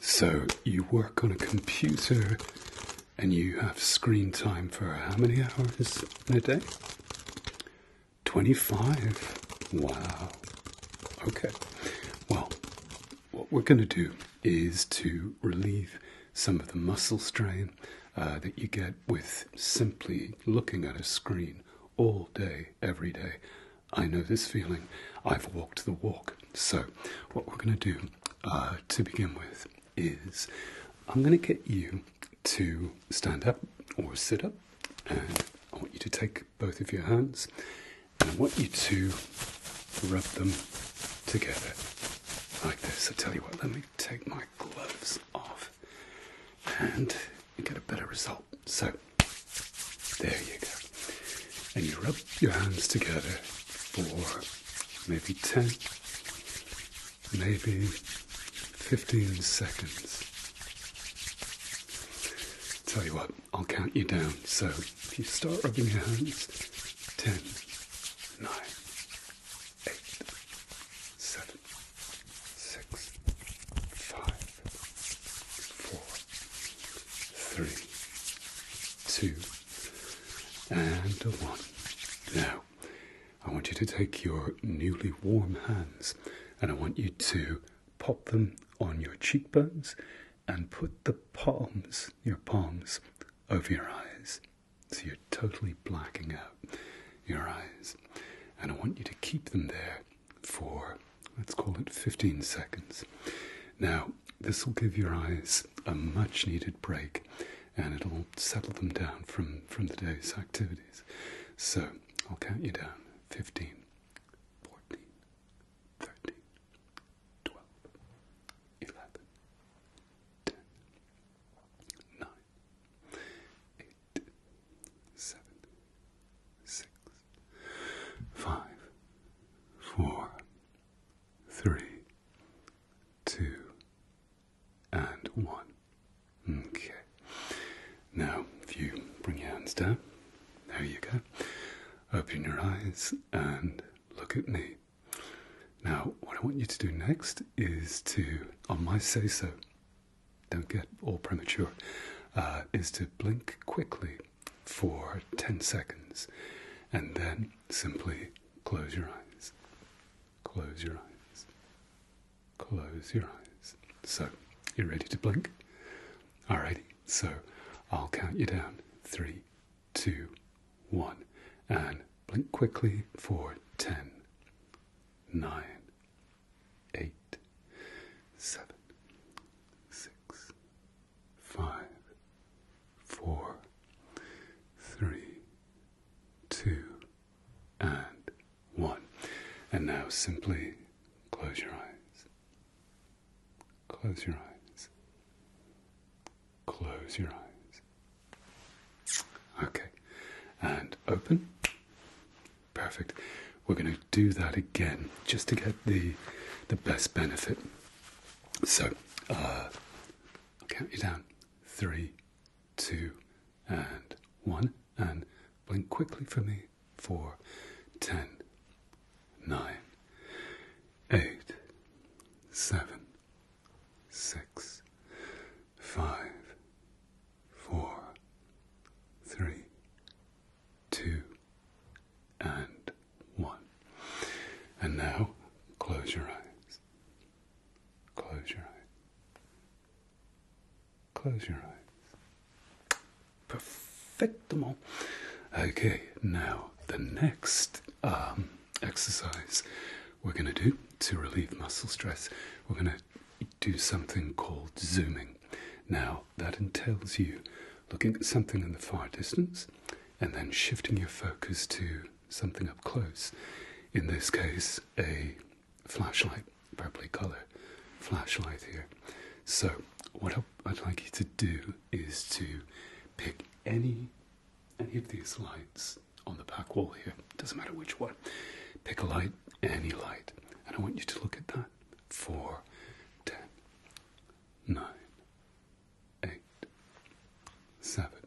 So you work on a computer and you have screen time for how many hours a day? 25. Wow. Okay. Well, what we're going to do is to relieve some of the muscle strain uh, that you get with simply looking at a screen all day every day. I know this feeling. I've walked the walk. So, what we're going to do uh, to begin with is I'm going to get you to stand up or sit up, and I want you to take both of your hands and I want you to rub them together like this. I tell you what, let me take my gloves off and get a better result. So, there you go. And you rub your hands together for maybe 10, maybe 15 seconds. Tell you what, I'll count you down. So, if you start rubbing your hands, 10, 9, Eight, seven, six, five, four, three, two, and one. Now, I want you to take your newly warm hands and I want you to pop them on your cheekbones and put the palms, your palms, over your eyes. So you're totally blacking out your eyes. And I want you to keep them there for let's call it 15 seconds. Now, this will give your eyes a much needed break and it'll settle them down from, from the day's activities. So I'll count you down 15, 14, 13, 12, 11, six, five, four, three, two, and one. Okay. Now, if you bring your hands down, there you go. Open your eyes and look at me. Now, what I want you to do next is to, on my say so, don't get all premature, uh, is to blink quickly for 10 seconds and then simply close your eyes. Close your eyes. Close your eyes. So, you're ready to blink? Alrighty, so I'll count you down. Three, two, one. And blink quickly for 10, 9, 8, 7, 6, five, four, three, two, and one. And now simply close your eyes. Close your eyes. Close your eyes. Okay. And open. Perfect. We're going to do that again just to get the the best benefit. So uh, count you down. Three, two, and one, and blink quickly for me. Four, ten, nine, eight, seven, six, five, four, three, two, and one. And now close your eyes. Close your eyes. Close your eyes. Perfectimo. Okay, now the next um, exercise we're going to do to relieve muscle stress, we're going to do something called zooming. Now, that entails you looking at something in the far distance and then shifting your focus to something up close. In this case, a flashlight, purpley color flashlight here. So, what I'd like you to do is to pick any any of these lights on the back wall here. Doesn't matter which one. Pick a light, any light, and I want you to look at that for 10, nine, eight, seven,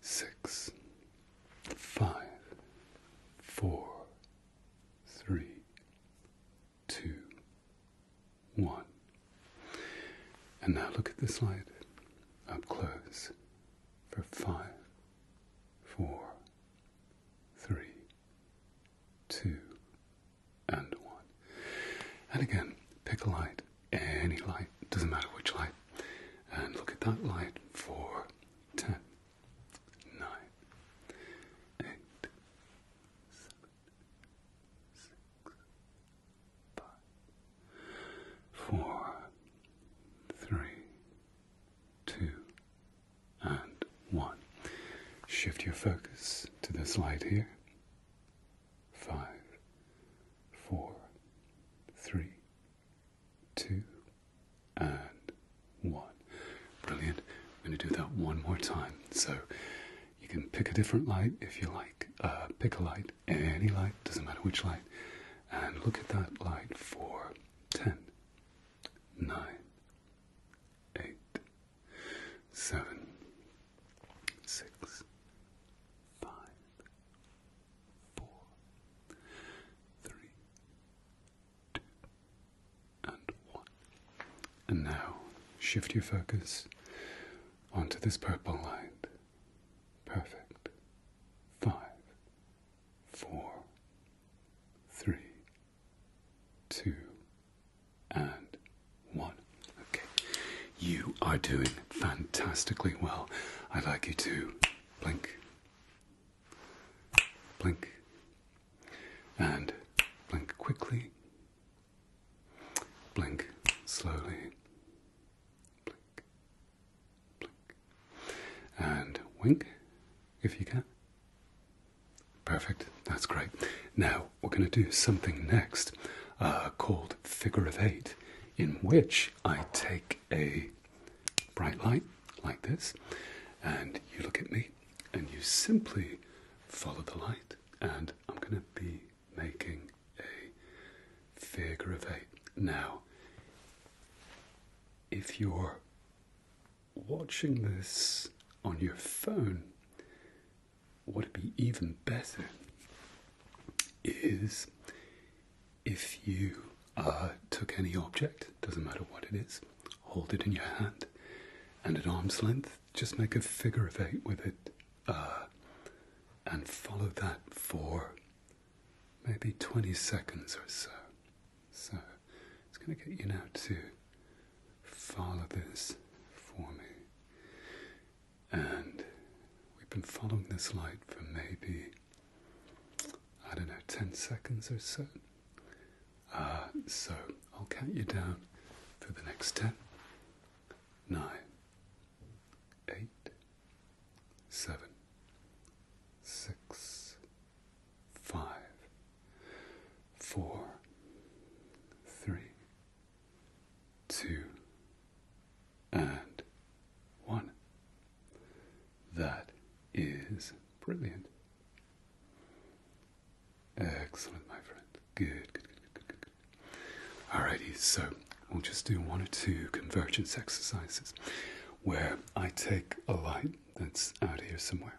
six, five, four, three, two, one. And now look at this light up close for five, four, three, two, and one. And again, pick a light, any light, doesn't matter which light, and look at that light for ten, nine, eight, seven, six, five, four, three, two, and one. Shift your focus to this light here. Five, four, three, two, and one. Brilliant. I'm going to do that one more time. So you can pick a different light if you like. Uh, pick a light, any light, doesn't matter which light. And look at that light for ten, nine, eight, seven, six, five, four, three, two, and one. And now shift your focus onto this purple light. Perfect. Five, four, three, two, and one. Okay, you are doing fantastically well. I'd like you to blink, blink, and blink quickly, blink slowly, blink, blink, and wink if you can. Perfect, that's great. Now we're going to do something next uh, called figure of eight, in which I take a bright light like this, and you look at me, and you simply follow the light, and I'm going to be making a figure of eight. Now, if you're watching this on your phone, what would be even better is if you uh, took any object, doesn't matter what it is, hold it in your hand, and at arm's length, just make a figure of eight with it, uh, and follow that for maybe 20 seconds or so. So it's going to get you now too follow this for me. And we've been following this light for maybe, I don't know, 10 seconds or so. Uh, so I'll count you down for the next 10, 9, 8, 7, 6, 5, four, three, two, and one. That is brilliant. Excellent, my friend. Good, good, good, Alrighty, so we'll just do one or two convergence exercises where I take a light that's out here somewhere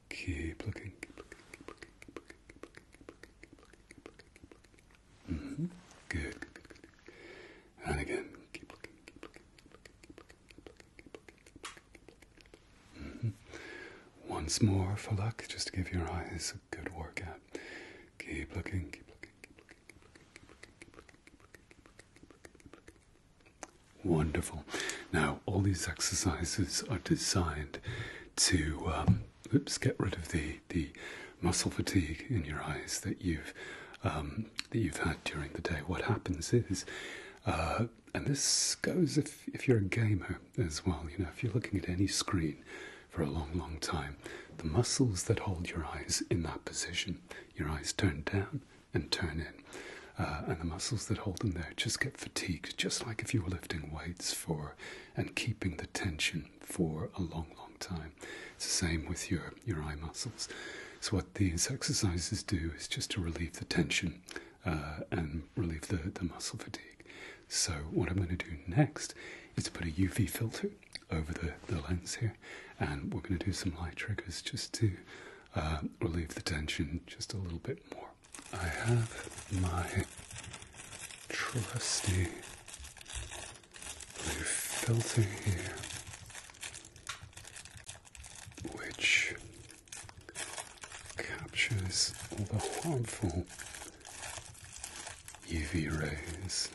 Keep looking, keep looking, keep looking, keep looking, keep looking, keep looking, keep looking, keep looking, keep looking. Mm-hmm. Good, good, good, good. And again, keep looking, keep looking, keep looking, keep looking, keep looking, keep looking, keep looking, keep looking. Mm-hmm. Once more for luck, just to give your eyes a good workout. Keep looking, keep looking, keep looking, keep looking, keep looking, keep looking, keep looking, keep looking, keep looking, keep looking. Wonderful. Now, all these exercises are designed to um, oops, get rid of the the muscle fatigue in your eyes that you've um, that you've had during the day. What happens is, uh, and this goes if if you're a gamer as well. You know, if you're looking at any screen for a long, long time, the muscles that hold your eyes in that position, your eyes turn down and turn in. Uh, and the muscles that hold them there just get fatigued, just like if you were lifting weights for and keeping the tension for a long, long time. It's the same with your, your eye muscles. So, what these exercises do is just to relieve the tension uh, and relieve the, the muscle fatigue. So, what I'm going to do next is put a UV filter over the, the lens here, and we're going to do some light triggers just to uh, relieve the tension just a little bit more. I have my trusty blue filter here, which captures all the harmful UV rays.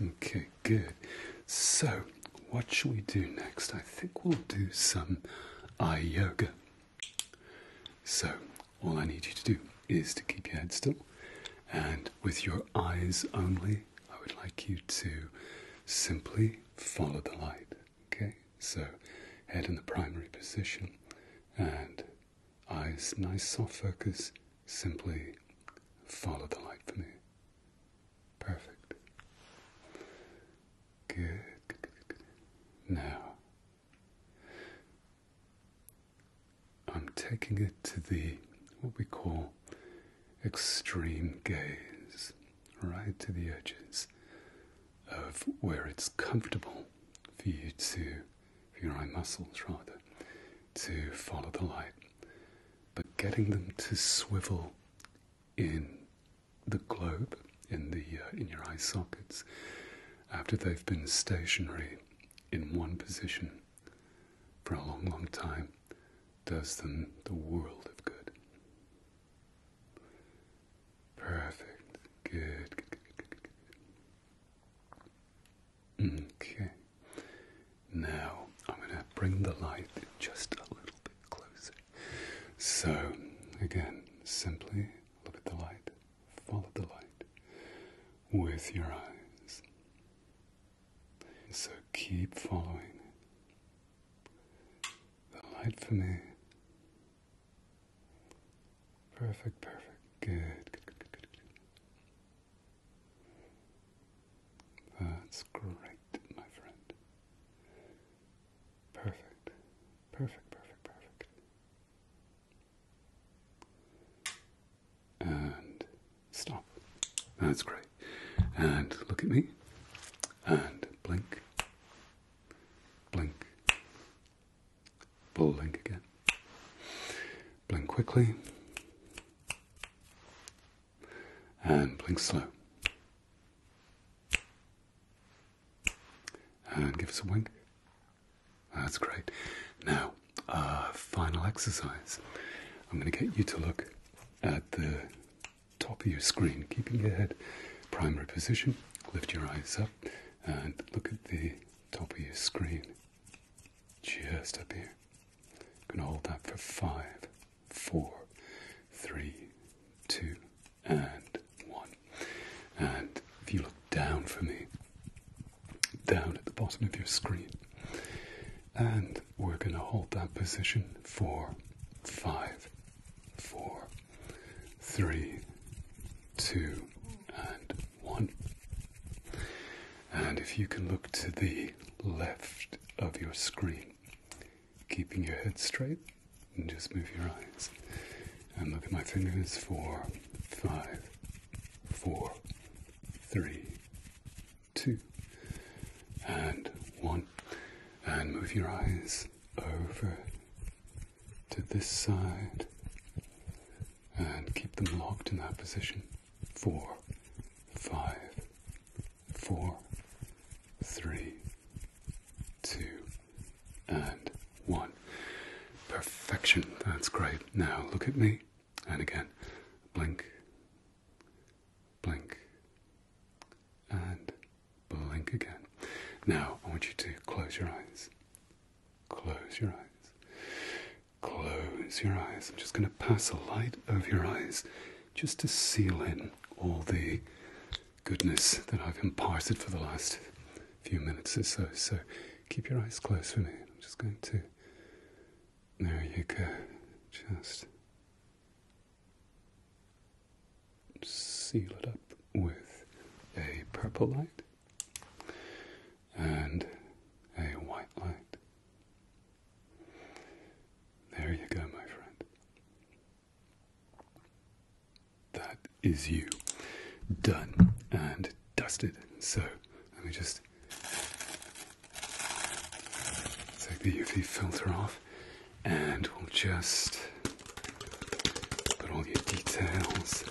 Okay, good. So, what should we do next? I think we'll do some eye yoga. So, all I need you to do is to keep your head still, and with your eyes only, I would like you to simply follow the light. Okay? So, head in the primary position, and eyes nice soft focus, simply follow the light for me. Perfect. Good, Now, I'm taking it to the what we call extreme gaze, right to the edges of where it's comfortable for you to, for your eye muscles rather, to follow the light, but getting them to swivel in the globe in the uh, in your eye sockets after they've been stationary in one position for a long, long time does them the world of good. Perfect. good. Okay. Now I'm going to bring the light just a little bit closer. So again, simply look at the light. Follow the light with your eyes. So keep following the light for me. Perfect, perfect. Good, good, good, good, good. That's great, my friend. Perfect, perfect, perfect, perfect. And stop. That's great. And look at me. And blink. Blink. Blink again. Blink quickly. And blink slow. And give us a wink. That's great. Now, uh, final exercise. I'm going to get you to look at the top of your screen, keeping your head primary position. Lift your eyes up and look at the top of your screen. Just up here. I'm going to hold that for five, four, three, two, and one. And if you look down for me, down at the bottom of your screen, and we're going to hold that position for five, four, three, two, and one. And if you can look to the left of your screen, keeping your head straight, just move your eyes. And look at my fingers for five, four, three, two, and one. And move your eyes over to this side. And keep them locked in that position. Four, five, four, three, two, and one. Perfection, that's great. Now look at me, and again, blink, blink, and blink again. Now I want you to close your eyes, close your eyes, close your eyes. I'm just going to pass a light over your eyes just to seal in all the goodness that I've imparted for the last few minutes or so. So keep your eyes closed for me. I'm just going to. There you go. Just seal it up with a purple light and a white light. There you go, my friend. That is you done and dusted. So let me just take the UV filter off and we'll just put all your details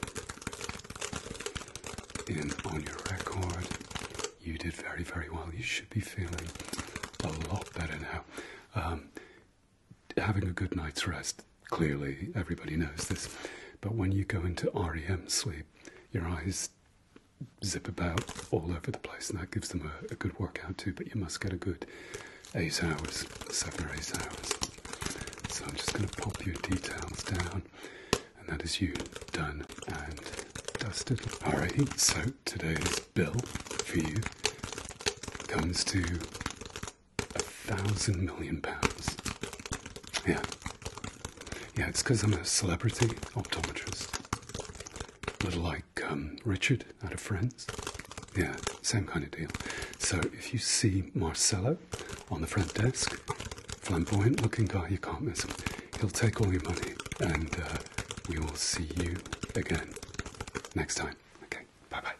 in on your record. You did very, very well. You should be feeling a lot better now. Um, having a good night's rest, clearly everybody knows this, but when you go into REM sleep, your eyes zip about all over the place, and that gives them a, good workout too. But you must get a good eight hours, seven or eight hours. So I'm just going to pop your details down, and that is you done and dusted. Alright, so today's bill for you comes to a thousand million pounds. Yeah. Yeah, it's because I'm a celebrity optometrist. A little like um, Richard out of Friends. Yeah, same kind of deal. So if you see Marcello on the front desk, flamboyant looking guy, you can't miss him. He'll take all your money and uh, we will see you again next time. Okay, bye bye.